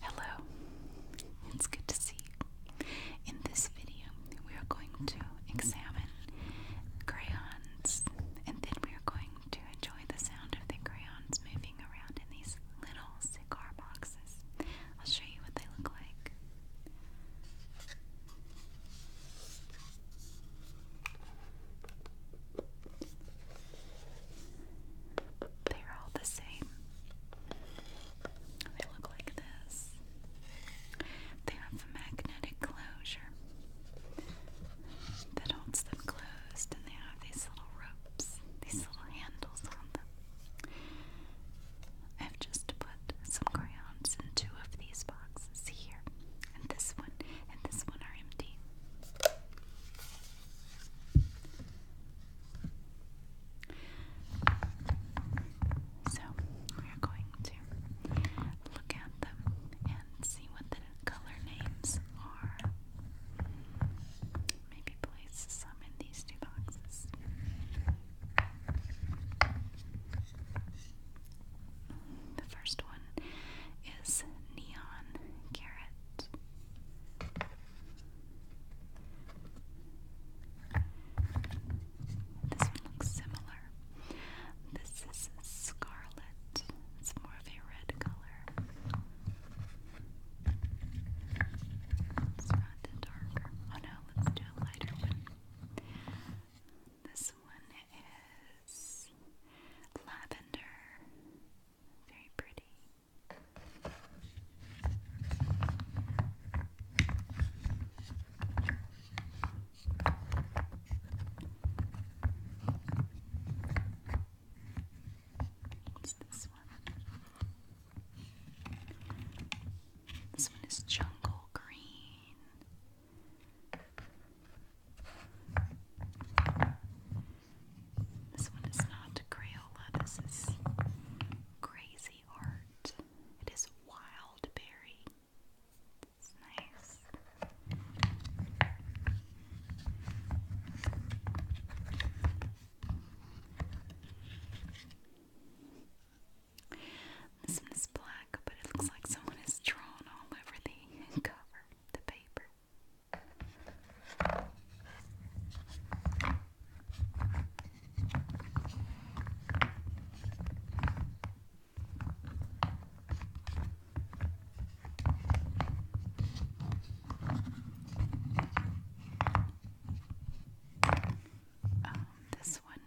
Hello, it's good to see you. In this video, we are going to examine crayons and then we are going to enjoy the sound of the crayons moving around in these little cigar boxes. I'll show you what they look like. They're all the same. They look like this. They have a magnetic closure that holds them closed, and they have these little ropes, these little handles on them. I've just put some crayons in two of these boxes here, and this one and this one are empty. So we are going to look at them and see what the color names are. Maybe place some in these two boxes. The first one is Neon Carrot. This one looks similar. This is scarlet. It's more of a red color. Let's round darker. Oh no, let's do a lighter one. This one is lavender. Very pretty. What's this one? This one is jungle green. This one is not Crayola, this is crazy art. It is wild berry. It's nice. This one is black, but it looks like someone has drawn all over the cover, the paper. Um, this one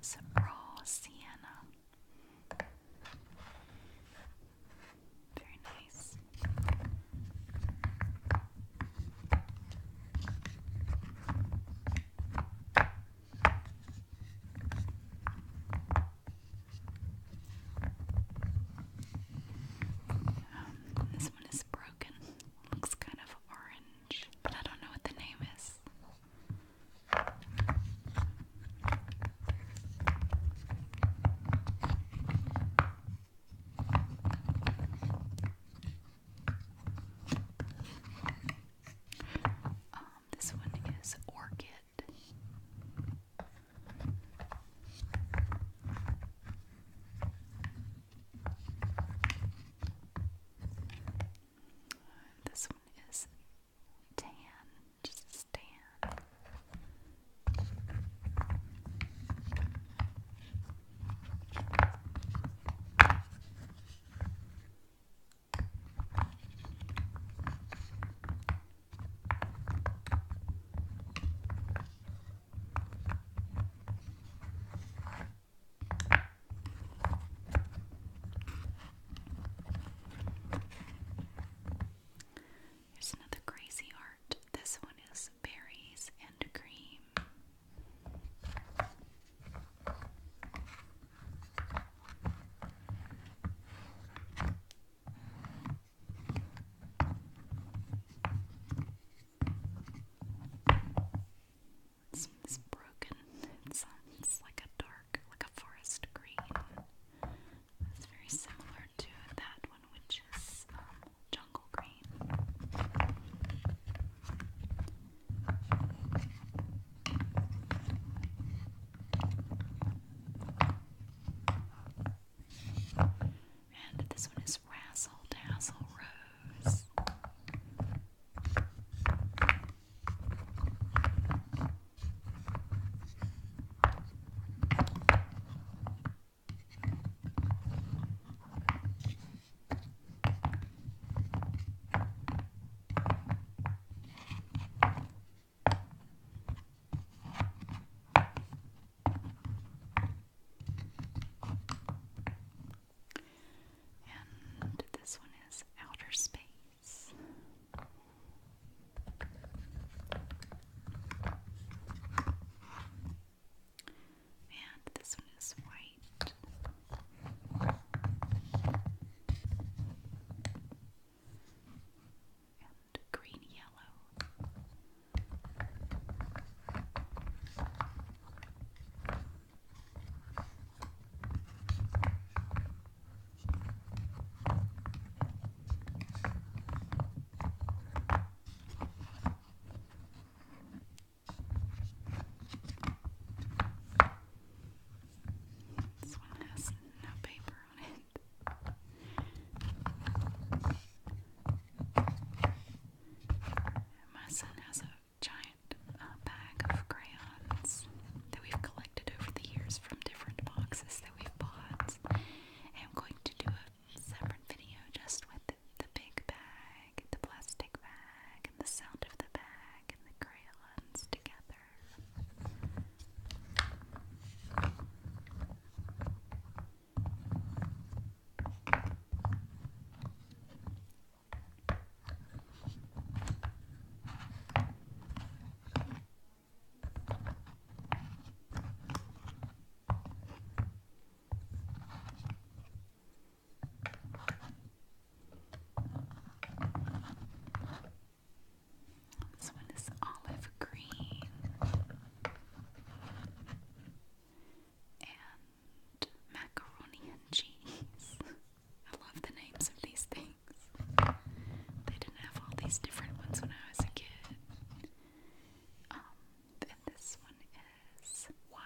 is raw sienna. Very nice. Um, this one is broken. Looks kind of orange, but I don't know what the name is. Um, this one is Orchid. This one is tan, just tan. Here's another crazy art. This one is berries and cream. It's, broken. it's like a dark, like a forest green. It's very similar to that one, which is um, jungle green. And this one is Razzle Dazzle Rose. And this one is Outer Space. And this one is white. And green yellow. This one has no paper on it. my son has a giant uh, bag of crayons that we've collected over the years from different boxes that we bought. I'm going to do a separate video just with the, big bag, the plastic bag, and the sound of the bag, and the crayons together. This one is olive green and macaroni and cheese. I love the names of these things things. They didn't have all these different ones when I was a kid. Um, and this one is wild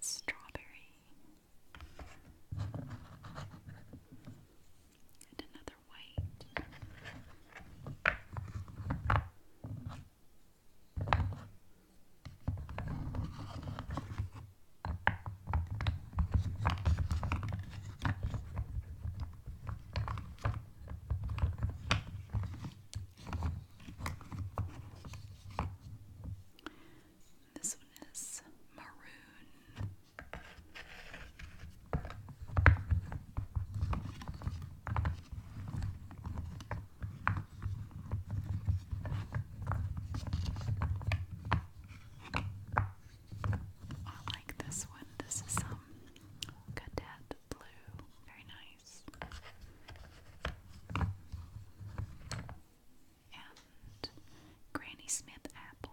strawberry. And another white. This one is maroon. I like this one. This is some um, cadet blue. Very nice. And Granny Smith apple.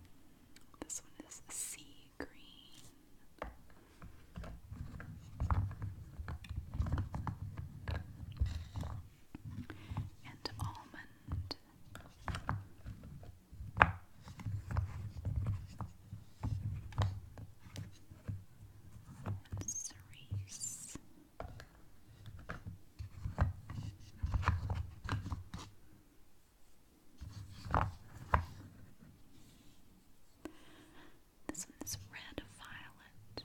This one is sea green. And almond. And cerise. This one is red violet.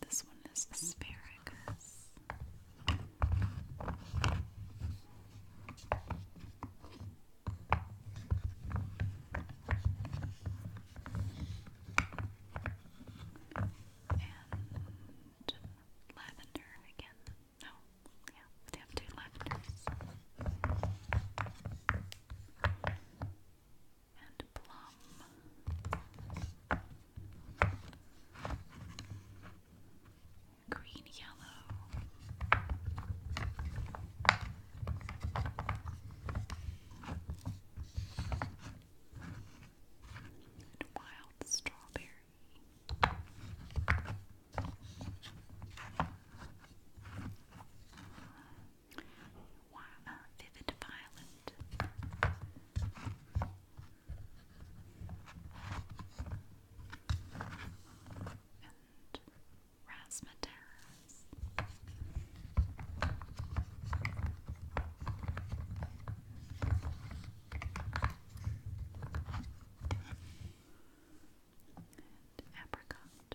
This one is asparagus and lavender again. No, yeah, they have two lavenders. And plum. Green yellow wild strawberry. Uh, vivid violet. And razzmatazz. And apricot.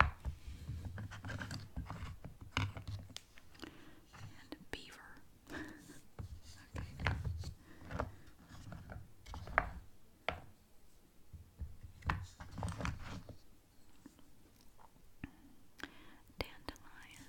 And a beaver. okay. Dandelion.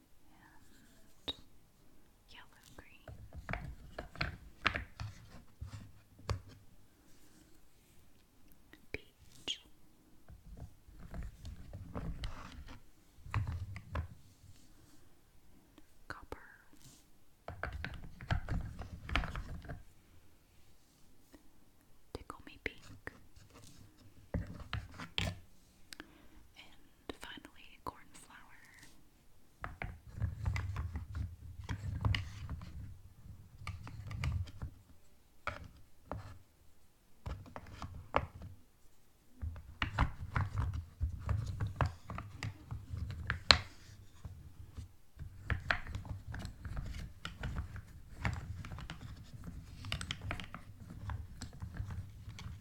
and yellow green, peach. Copper Tickle Me Pink and and finally, cornflower.